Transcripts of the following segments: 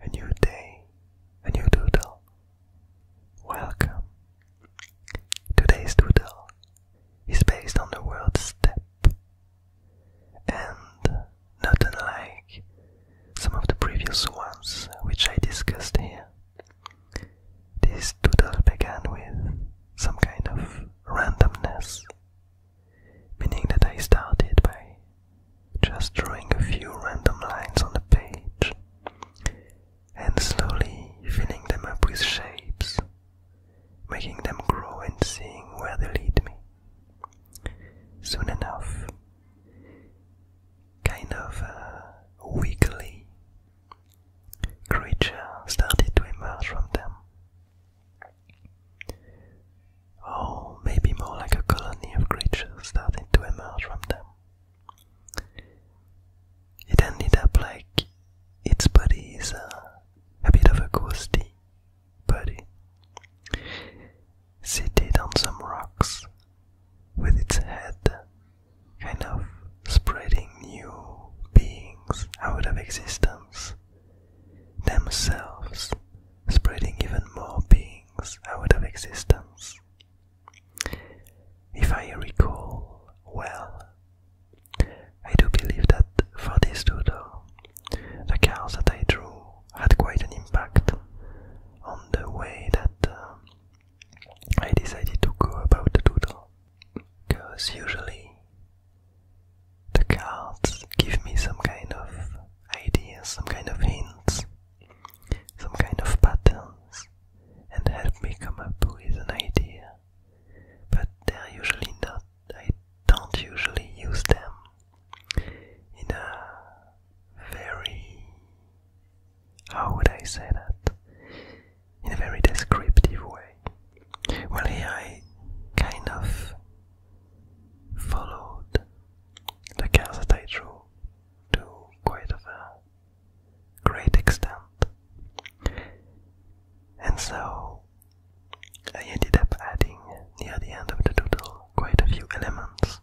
a new day, a new doodle. Welcome. Today's doodle is based on the word step, and not unlike some of the previous ones which I discussed here. This doodle began with some kind of randomness, meaning that I started by just drawing a few random lines on the page and slowly filling them up with shapes, making them grow and seeing where they lead me. Soon enough, kind of a wiggly creature started to emerge from them or oh, maybe more like a colony of creatures starting to emerge from them. It ended up like its body is a, a bit of a ghosty body, seated on some rocks, with its head kind of spreading new beings out of existence, themselves spreading even more beings out of existence. If I recall well, I do believe that for this doodle, the cards that I drew had quite an impact on the way that uh, I decided to go about the doodle. Because usually the cards give me some kind of ideas, some kind of hints, some kind of patterns, and help me come up with an idea. But they're usually not, I don't usually use them in a very, how would I say that? In a very descriptive way. Well, here I kind of followed the Kansas Rule to quite a great extent. And so I ended up adding near the end of the doodle quite a few elements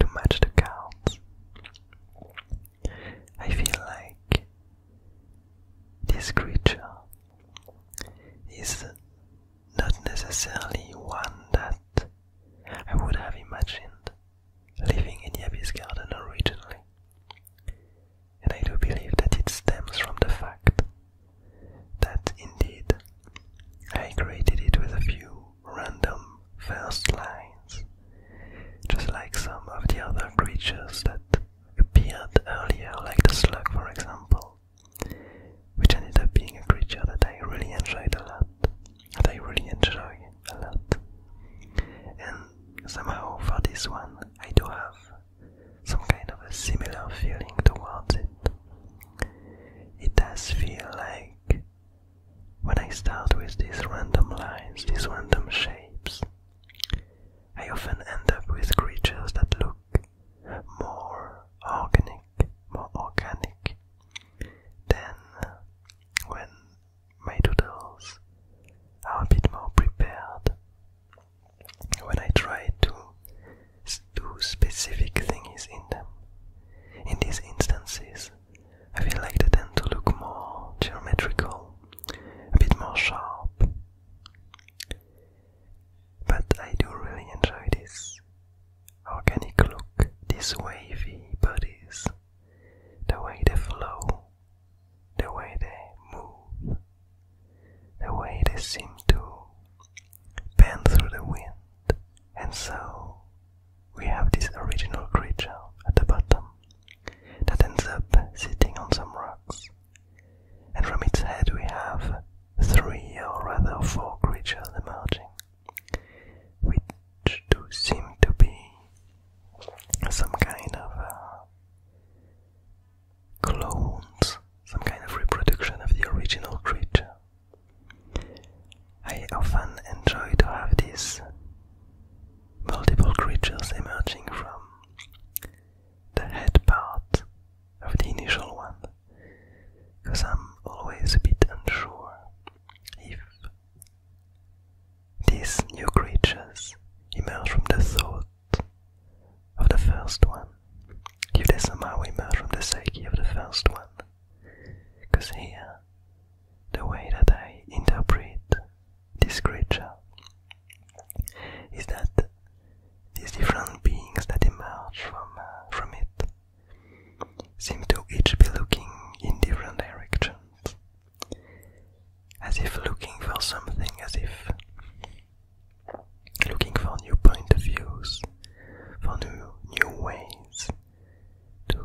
to match the counts. I feel like this creature is not necessarily one that I would have imagined living in Yabby's garden originally. And I do believe that it stems from the fact that indeed I created it with a few random first lines, just like some of the other creatures that appeared earlier, like the slug for example which ended up being a creature that I really enjoyed a lot, that I really enjoy a lot. And somehow for this one, I do have some kind of a similar feeling towards it. It does feel like when I start with these random lines, these random shapes, I often end up with creatures that look more organic, more organic than when my doodles are a bit more prepared. When I try to do specific things in them. In these instances, I feel like they tend to look more geometrical, a bit more sharp. But I do really enjoy this organic look, these wavy bodies, the way they flow, the way they move, the way they seem to bend through the wind. And so we have this original creature at the bottom that ends up sitting on some rocks and from its head we have three or rather four creatures emerging, which do seem to be some kind of uh, clones, some kind of reproduction of the original creature. I often enjoy to have these multiple creatures emerging from the head part of the initial one because I'm always a bit unsure if these new creatures emerge from the thought of the first one, if they somehow emerge from the psyche of the first one. Because here, the way that I interpret this creature is that these different beings that emerge from, uh, from it seem to each be looking in different directions, as if looking for something, as if looking for new point of views, for new, new ways to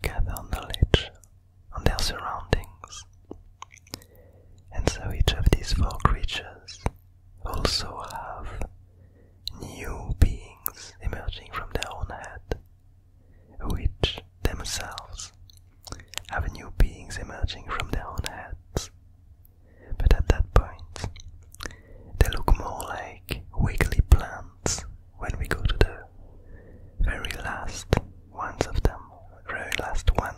gather knowledge on their surroundings. And so each of these four creatures also have new beings emerging from their own head, which themselves have new beings emerging from their own heads. But at that point, they look more like wiggly plants when we go to the very last ones of them, very last one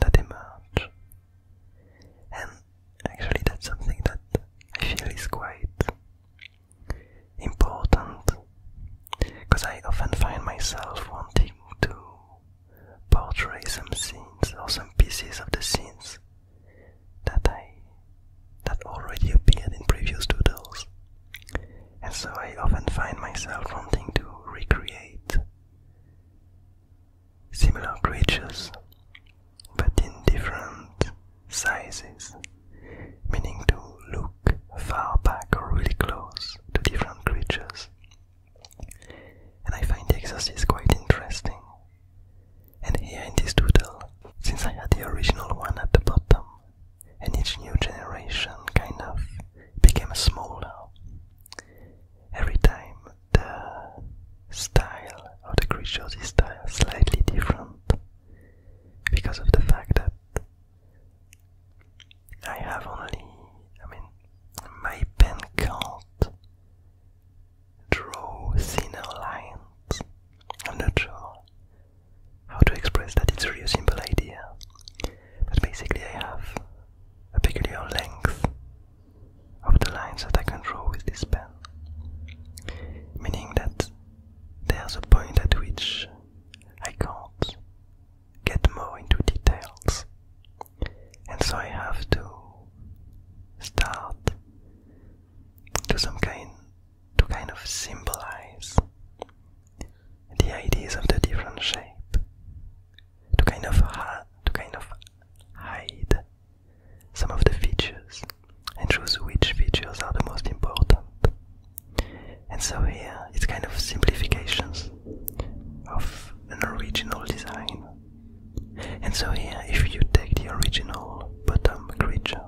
that emerge. And actually, that's something that I feel is quite important because I often find myself wanting to portray some scenes or some pieces of the scenes that I that already appeared in previous doodles and so I often find myself wanting to recreate similar creatures but in different sizes, meaning to look far back or really close to different creatures. And I find the exercise quite interesting. And here in this doodle, since I had the original one at the bottom, and each new generation kind of became smaller. Every time the style of the creatures is slightly different because of the fact that I have only, I mean, my pen can't draw thinner lines. I'm not sure how to express that it's a really simple idea. But basically, I have a peculiar length of the lines that I can draw with this pen, meaning that there's a point at which I can't get more into details, and so I have to start to some kind to kind of symbolize the ideas of the different shape to kind of to kind of hide some of the features and choose which features are the most important and so here it's kind of simplifications of an original design and so here if you take the original bottom creature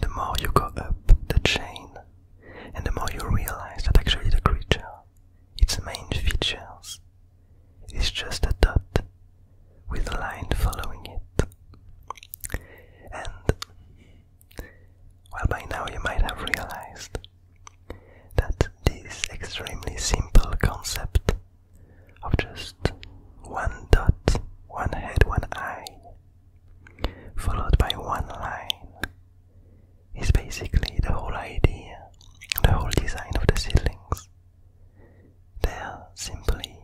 the more you go up the chain and the more you realize that actually the creature, its main features, is just a dot with a line following it. And, well, by now you might have realized that this extremely simple concept of just one dot, one head, one eye, followed by one line is basically the whole idea, the whole design of the ceilings. They are simply,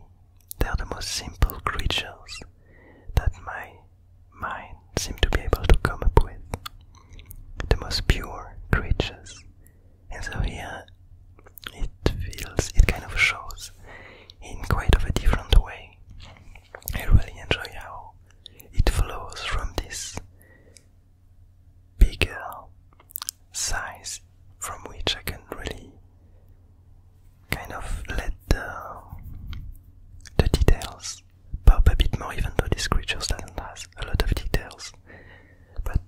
they are the most simple creatures that my mind seems to be able to come up with. The most pure creatures. And so here it feels, it kind of shows in quite of a different way I really enjoy how it flows from this bigger size from which I can really kind of let the, details pop a bit more even though this creature doesn't have a lot of details but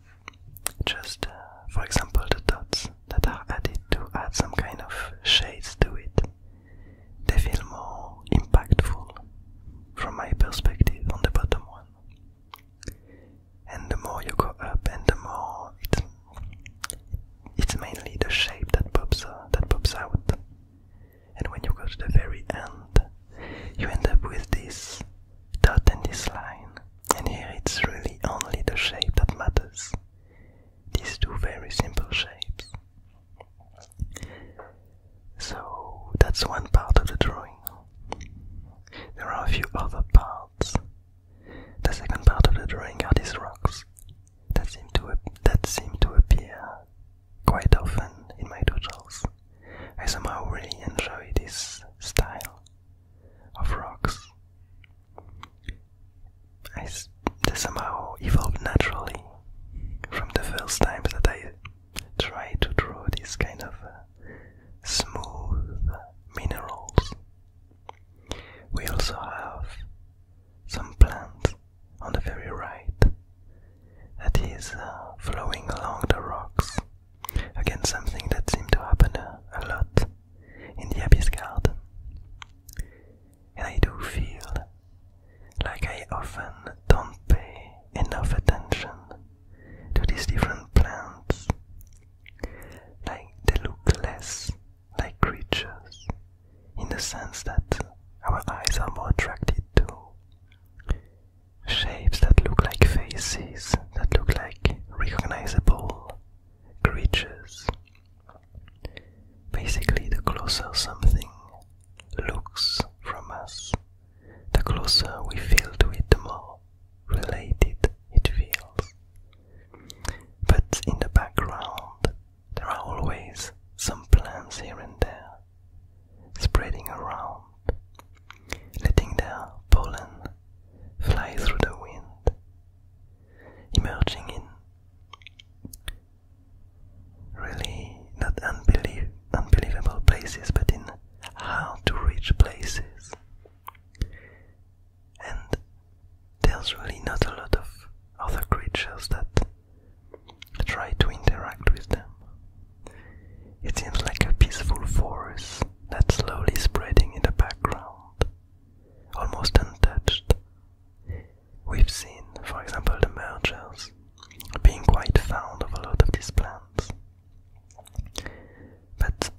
just uh, for example the dots that are added to add some kind of shades to it. They feel more impactful from my perspective on the bottom one. And the more you go up, and the more it's, mainly the shape that pops uh, that pops out. And when you go to the very end, you end up with this dot and this line. And here it's really only the shape that matters these two very simple shapes. So that's one part of the drawing. There are a few other parts. The second part of the drawing are these rocks that seem to that seem to appear quite often in my doodles. I somehow really enjoy this style of rocks I somehow evolved naturally from the first times that I tried to draw these kind of uh, smooth minerals. We also have some plants on the very right that is uh, flowing along the rocks. Again, something that seemed to happen uh, a lot in the Abyss Garden. And I do feel like I often don't pay enough attention to these different plants. Like they look less like creatures in the sense that our eyes are more attracted to shapes that look like faces, that look like recognizable creatures. Basically, the closer something looks from us, the closer we feel to it, the more related it feels. But in the background, there are always some plants here and there, spreading around, letting their pollen fly through the wind emerging in really not unbelievable places, but in hard to reach places. And there's really not a lot of other creatures that try to interact with them. It seems like a peaceful forest that's slowly spreading in the background almost untouched. We've seen, for example, the mergers being quite fond of a lot of these plants. But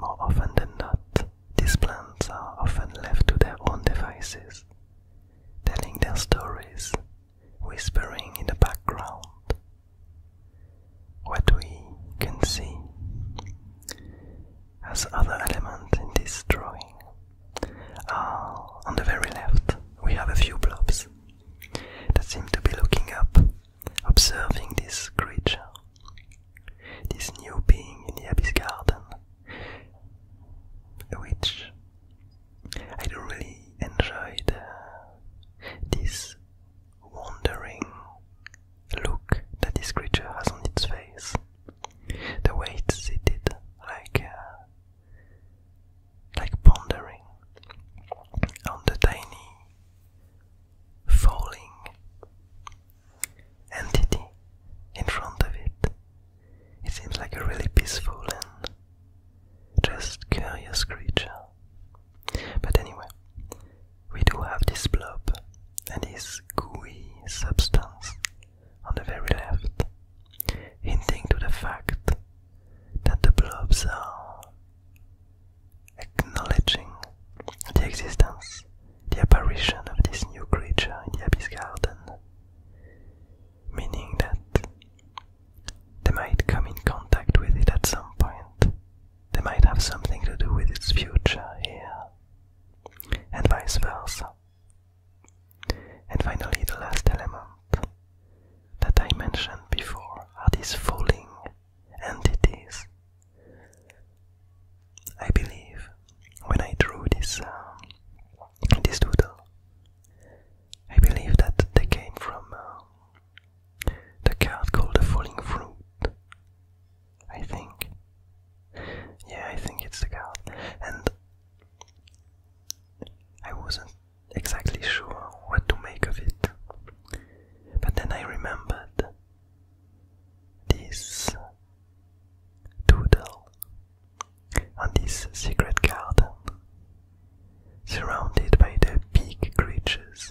more often than not, these plants are often left to their own devices, telling their stories, whispering in the background, what we can see as other elements in this drawing. Uh, on the very left, we have a few blobs that seem to be looking up, observing this creature, this new being in the abyss garden, which I don't really enjoy uh, this wondering look that this creature has on its face. The way it's seated, like uh, like pondering on the tiny falling entity in front of it. It seems like a really peaceful and just curious creature. But anyway, we do have this blob and this gooey substance on the very left, hinting to the fact that the blobs are acknowledging the existence, the apparition of this new creature in the Abyss Garden, meaning that they might come in contact with it at some point they might have something to do with its future here, and vice versa. And finally, the last element that I mentioned before are these falling entities. I believe when I drew this um, this doodle, I believe that they came from um, the cat called the Falling Fruit. I think. Yeah, I think it's the cat. And I wasn't exactly sure what to make of it. But then I remembered this doodle and this secret garden, surrounded by the big creatures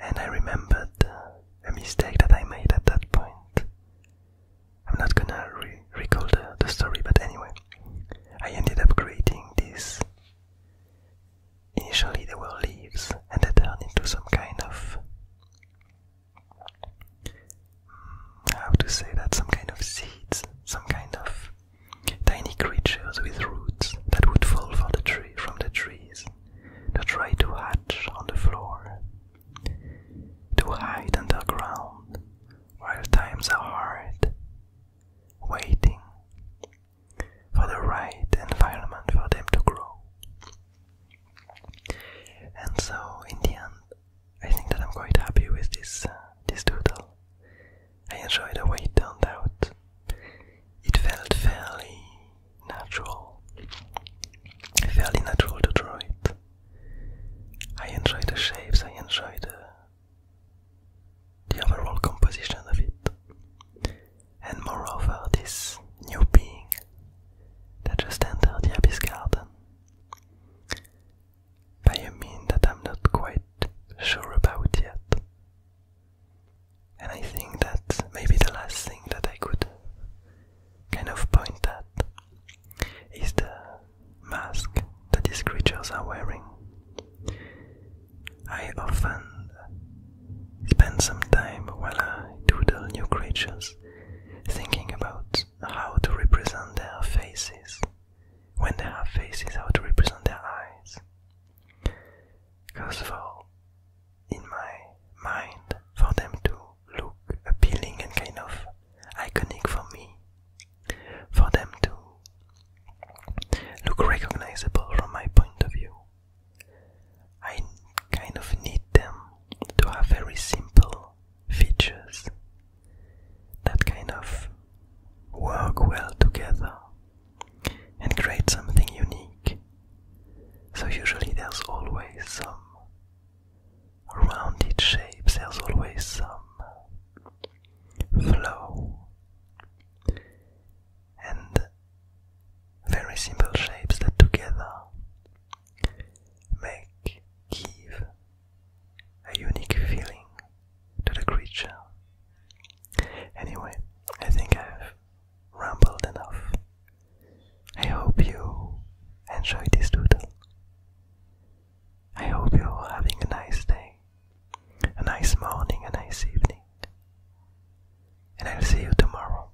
and I remembered a mistake that I made at that point. I'm not gonna recall the, story, but anyway, I ended up creating this. Initially, there were leaves, and they turned into some kind of. Mm, how to say that? Some kind of seeds, some kind of Tiny creatures with roots that would fall from the, tree, from the trees to try to hatch on the floor. To hide underground while times are hard. Waiting for the right environment for them to grow. And so, in the end, I think that I'm quite happy with this uh, this doodle. I enjoyed the way it turned out. It felt fairly natural, fairly natural to draw it. I enjoyed the shapes, I enjoyed the, the overall composition of it. And moreover, this new being that just entered the Abyss Garden by a mean that I'm not quite sure about yet. And I think that maybe the last thing that I could kind of point at is the mask that these creatures are wearing. I often spend some time while I doodle new creatures thinking about how to represent their faces when they have faces, how to represent their eyes. First of all, in my mind, for them to look appealing and kind of iconic for me, for them to look recognizable from my point of view, I kind of need them to have very simple features that kind of work well together and create something unique. So, usually, there's always some rounded shapes, there's always some flow, and very simple shapes that together make give a unique feeling to the creature. Anyway, I think I've rambled enough. I hope you enjoyed this doodle. I hope you're having a nice day, a nice morning, a nice evening, and I'll see you tomorrow.